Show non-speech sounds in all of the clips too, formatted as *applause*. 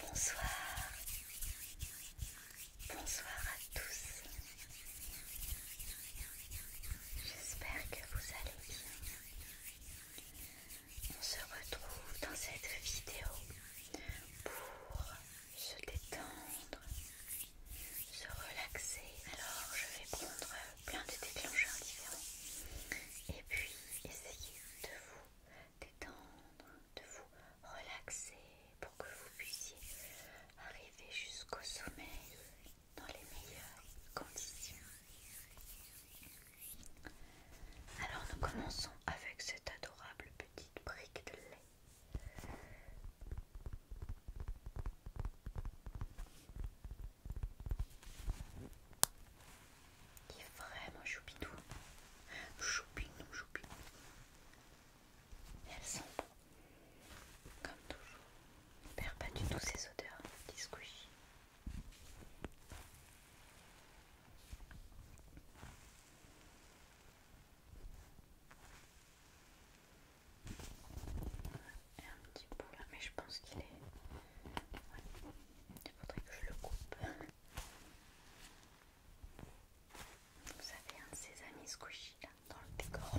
Bonsoir. Bonsoir à tous. J'espère que vous allez bien. On se retrouve dans cette vidéo pour se détendre, se relaxer. Alors je vais prendre plein de déclencheurs différents. Et puis essayez de vous détendre, de vous relaxer pour que vous puissiez arriver jusqu'au sommeil dans les meilleures conditions. Alors nous commençons avec cette adorable petite brique de lait. Il est vraiment choupinou. Choupinou, choupinou. Elles sont Comme toujours. On ne perd pas du tout ses odeurs. Petit un petit bout là, mais je pense qu'il est... Il faudrait que je le coupe. *laughs* Vous avez un de amis squishy là, dans le décor.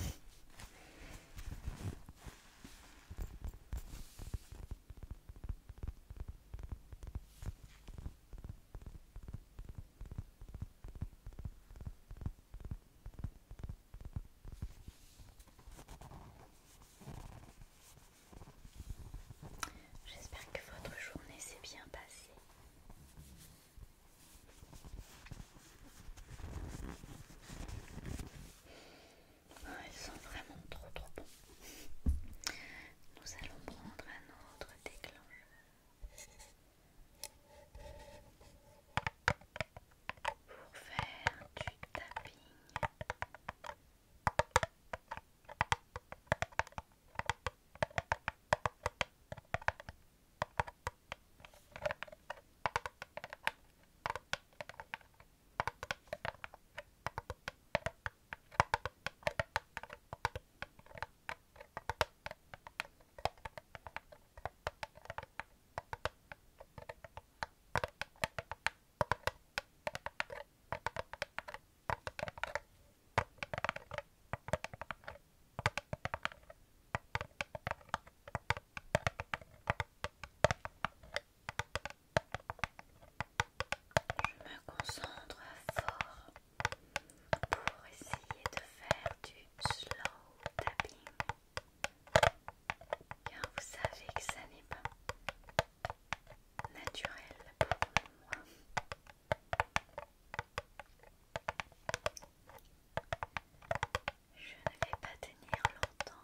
J'espère que votre journée s'est bien passée. ils ah, sont vraiment trop trop bons. Nous allons prendre un autre déclencheur pour faire du tapping. Je me concentre fort pour essayer de faire du slow tapping. Car vous savez que ça n'est pas naturel pour moi. Je ne vais pas tenir longtemps.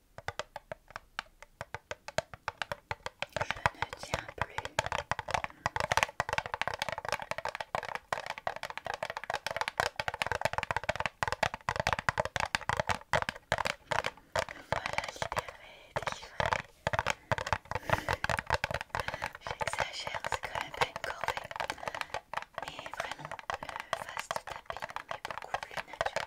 Je ne tiens plus. Voilà, libéré, délivré. J'exagère, c'est quand même pas une corvée. Mais vraiment, le fast tapping est beaucoup plus naturel.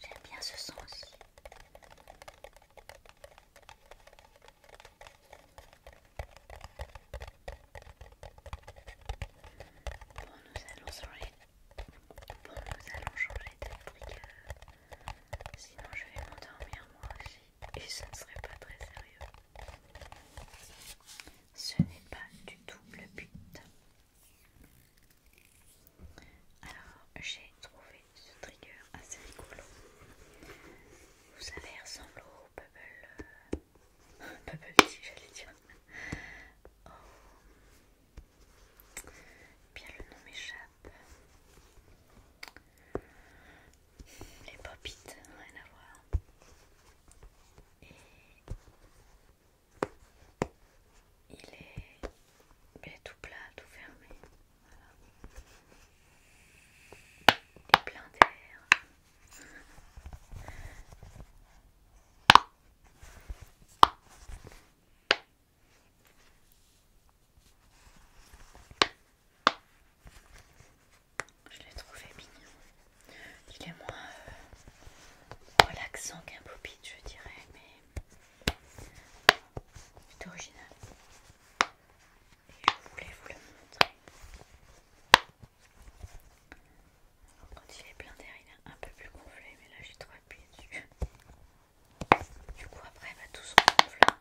J'aime bien ce son aussi. Bon, nous allons changer. Bon, de euh, Sinon, je vais m'endormir moi aussi. Et ce ne serait pas très sérieux. Ce n'est pas du tout le but. Alors, j'ai trouvé ce trigger assez rigolo. Vous savez, ressemble au Bubble. Euh, *laughs* bubble si j'allais dire. Oh. Bien, le nom m'échappe. Les pop it rien à voir. Et il est tout plat, tout fermé. Plein d'air. Je l'ai trouvé mignon. Il est moins euh, relaxant qu'un pop je dirais, mais c'est original et je voulais vous le montrer. Alors, quand il est plein d'air, il est un peu plus gonflé, mais là j'ai trop appuyé dessus. Du coup, après, va bah, tout se gonfler. Là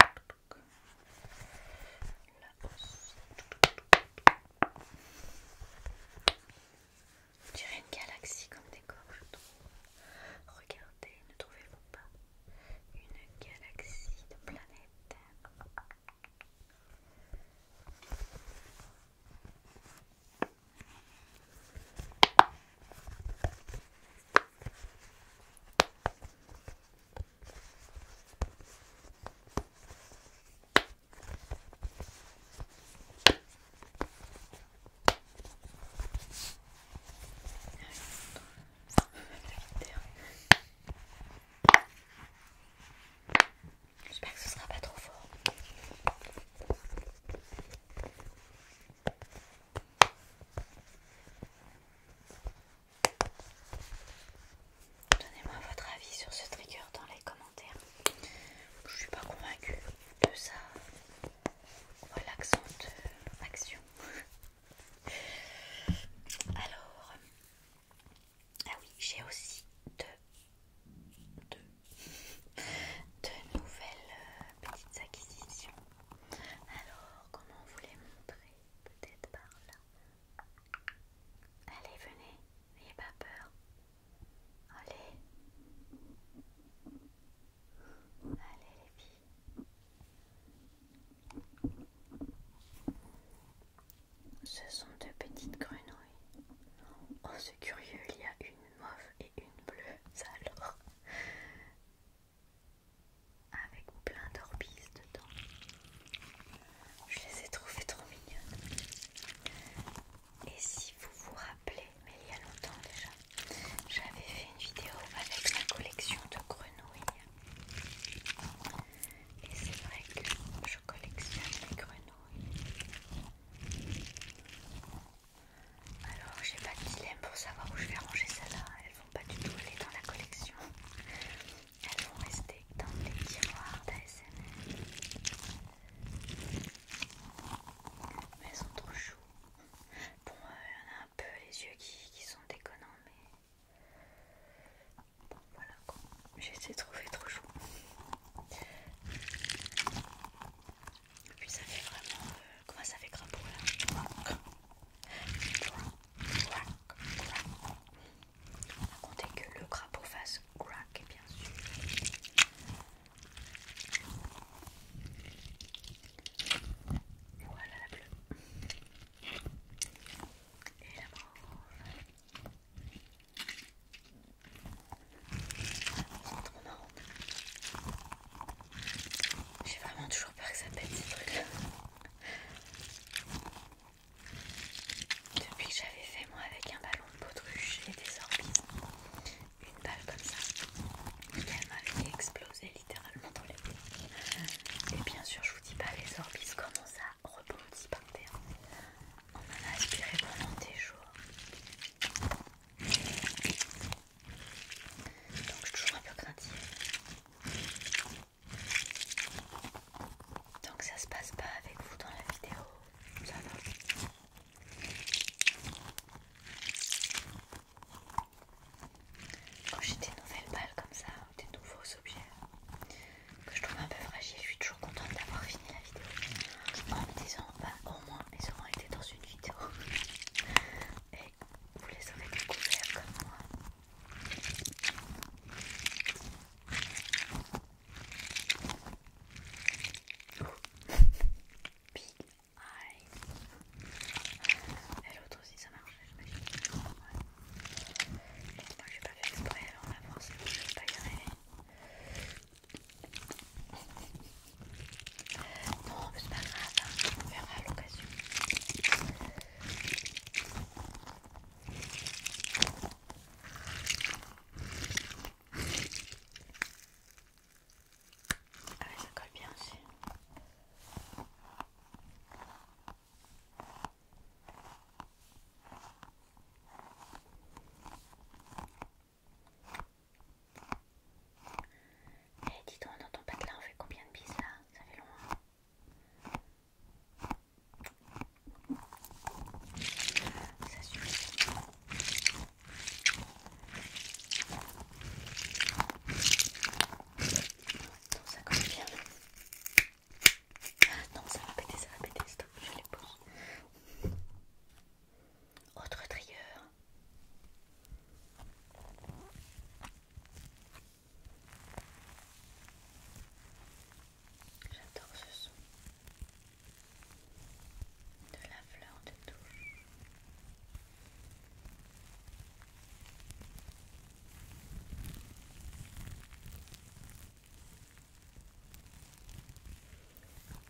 On dirait une galaxie comme décor, je trouve. Regarde ne trouvez-vous pas une galaxie de planètes J'espère que ce sera pas trop fort. Donnez-moi votre avis sur ce trigger dans les commentaires. Je suis pas convaincue de sa relaxante action. Alors, ah oui, j'ai aussi deux, deux, nouvelles euh, petites acquisitions. Alors, comment vous les montrer Peut-être par là. Allez, venez, n'ayez pas peur. Allez. Allez les filles. Ce sont deux petites grenouilles. Oh, c'est curieux, il y a une mauve et une bleue, ça alors. Avec plein d'orbises dedans. Je les ai trouvées trop mignonnes. Et si vous vous rappelez, mais il y a longtemps déjà, j'avais fait une vidéo avec ma collection de grenouilles et c'est vrai que je collectionne les grenouilles. Alors j'ai pas de dilemme pour savoir où je vais ranger celle là Elles vont pas du tout aller dans la collection. Elles vont rester dans les tiroirs d'ASMR. Mais elles sont trop chou. Bon, il y en a un peu les yeux qui, qui sont déconnants, voilà quoi. J'essaie de trouver trop chaud. Et puis ça fait vraiment... Euh, comment ça fait crapaud là On compter que le crapaud fasse crack bien sûr. Voilà la bleue. Et la C'est trop marrant. J'ai vraiment toujours peur que ça pète ces trucs-là. Depuis que j'avais fait moi avec un ballon de potruche et des orbites, une balle comme ça, elle m'avait explosé littéralement dans les pieds. Et bien sûr, je vous dis pas, les orbites, comment ça rebondit par terre. On en a aspiré pendant des jours. Donc, je suis toujours un peu craintive. Donc, ça se passe pas avec vous dans la vidéo, ça va. Quand j'ai des nouvelles balles comme ça, des nouveaux objets que je trouve un peu fragiles, je suis toujours contente d'avoir fini la vidéo en disant bah, au moins ils auront été dans une vidéo *laughs* et vous les aurez découverts comme moi. *laughs* Aïe. Et l'autre aussi ça marche, j'imagine. pas Moi j'ai pas fait exprès, alors voir si je vais pas y arriver. Non, mais c'est pas grave, hein. on verra à l'occasion. Ah ça colle bien aussi. Eh hey, dis donc, dans ton patelin, on fait combien de bises là Ça fait loin. Ça suffit. Ah, non, ça va péter, ça va péter. Stop, je Autre trieur. J'adore ce son de la fleur de touche.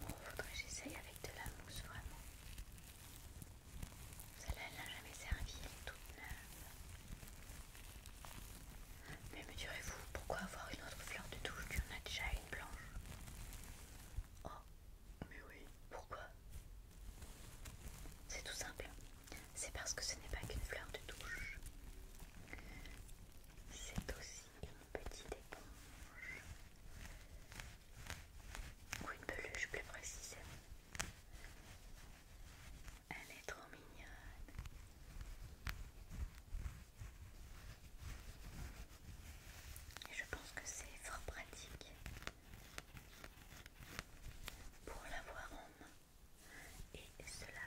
Bon, que j'essaye avec de la mousse vraiment. Celle-là, elle n'a jamais servi, elle est toute neuve. Mais me direz-vous, pourquoi avoir une autre fleur de douche quand on en a déjà une blanche Oh, mais oui, pourquoi C'est tout simple. C'est parce que ce n'est pas qu'une fleur de douche C'est aussi une petite éponge. Ou une peluche plus précisément. Elle est trop mignonne. Et je pense que c'est fort pratique pour la voir en main et cela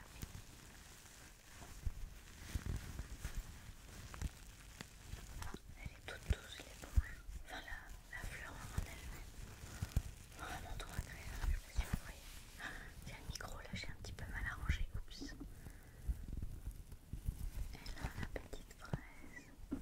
Elle est toute douce les enfin la, fleur en elle-même. Vraiment oh, trop agréable, je me Il y a le micro là, j'ai un petit peu mal arrangé, oups. Et là, la petite fraise.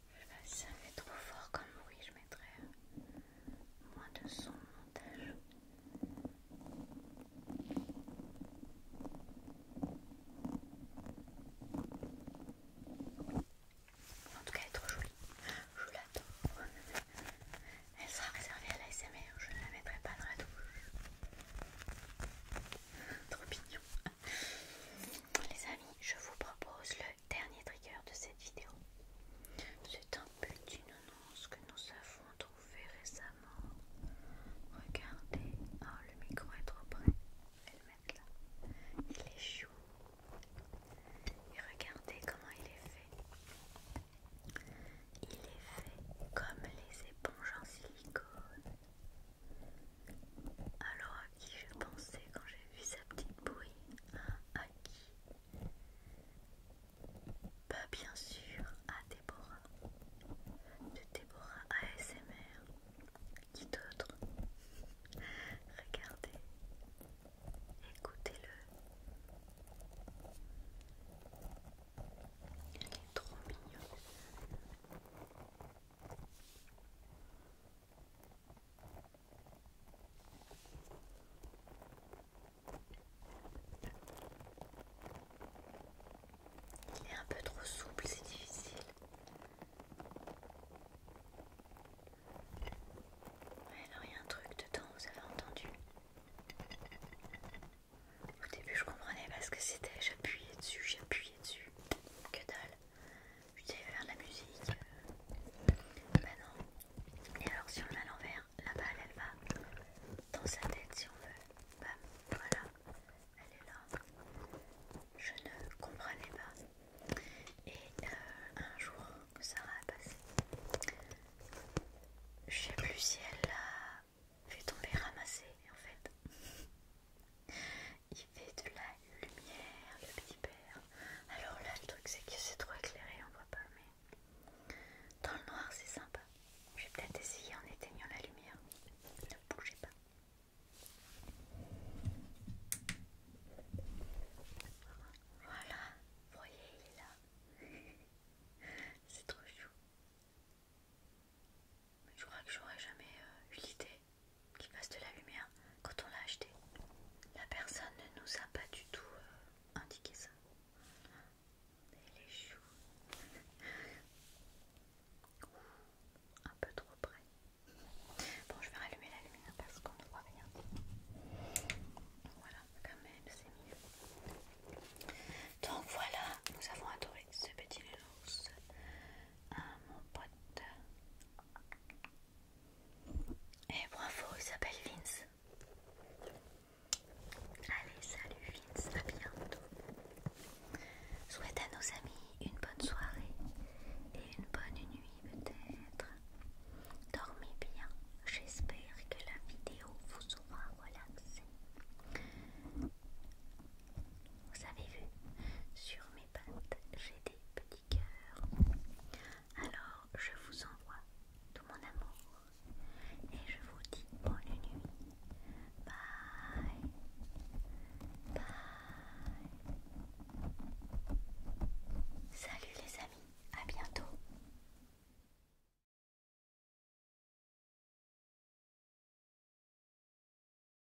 Je sais pas si ça fait trop fort comme bruit, je mettrai moins de son montage. En tout cas, elle est trop jolie. Je l'adore. Elle sera réservée à l'ASMR. Je ne la mettrai pas dans la douche. trop mignon. Les amis, je vous propose le dernier trigger de cette vidéo. C'est un petit annonce que nous avons trouvé récemment. Regardez, oh le micro est trop près. Je vais le là. Il est chou. Et regardez comment il est fait. Il est fait comme les éponges en silicone. Alors à qui je pensais quand j'ai vu sa petite bouille hein, À qui Bah bien sûr à Déborah. De Déborah ASMR. Qui d'autre Regardez. Écoutez-le. Il est trop mignon. Il est un peu trop souple, c'est difficile. Ouais, il y a un truc dedans, vous avez entendu Au début, je comprenais pas ce que c'était. J'appuyais dessus, j'appuyais dessus. Que dalle. Je disais, faire de la musique. Bah euh, non. Et alors, si on met à l'envers, la balle elle va dans sa tête si on veut. Bam, voilà. Elle est là. Je ne comprenais pas. Et euh, un jour, que ça a passé, je sais plus si elle l'a fait tomber ramasser, en fait il fait de la lumière, le petit père. Alors là, le truc, c'est que c'est trop éclairé, on voit pas, mais dans le noir, c'est sympa. Je vais peut-être essayer en éteignant la lumière. Ne bougez pas. Voilà, vous voyez, il est là. *laughs* C'est trop chou. Je crois que j'aurais jamais euh, eu l'idée qui fasse de la lumière quand on l'a acheté. La personne ne nous a pas du tout euh, indiqué ça. Et les choux. un peu trop près. Bon, je vais rallumer la lumière parce qu'on ne voit rien. Voilà, quand même, c'est mieux. Donc voilà, nous avons adoré ce petit nounours mon pote. Et eh, bravo, il s'appelle Vince. Allez, salut Vince, à bientôt. Souhaite à nos amis une bonne soirée et une bonne nuit peut-être. Dormez bien, j'espère que la vidéo vous aura relaxé. Vous avez vu, sur mes j'ai des petits cœurs. Alors, je vous envoie tout mon amour et je vous dis bonne nuit. Bye. Bye. Salut les amis, à bientôt.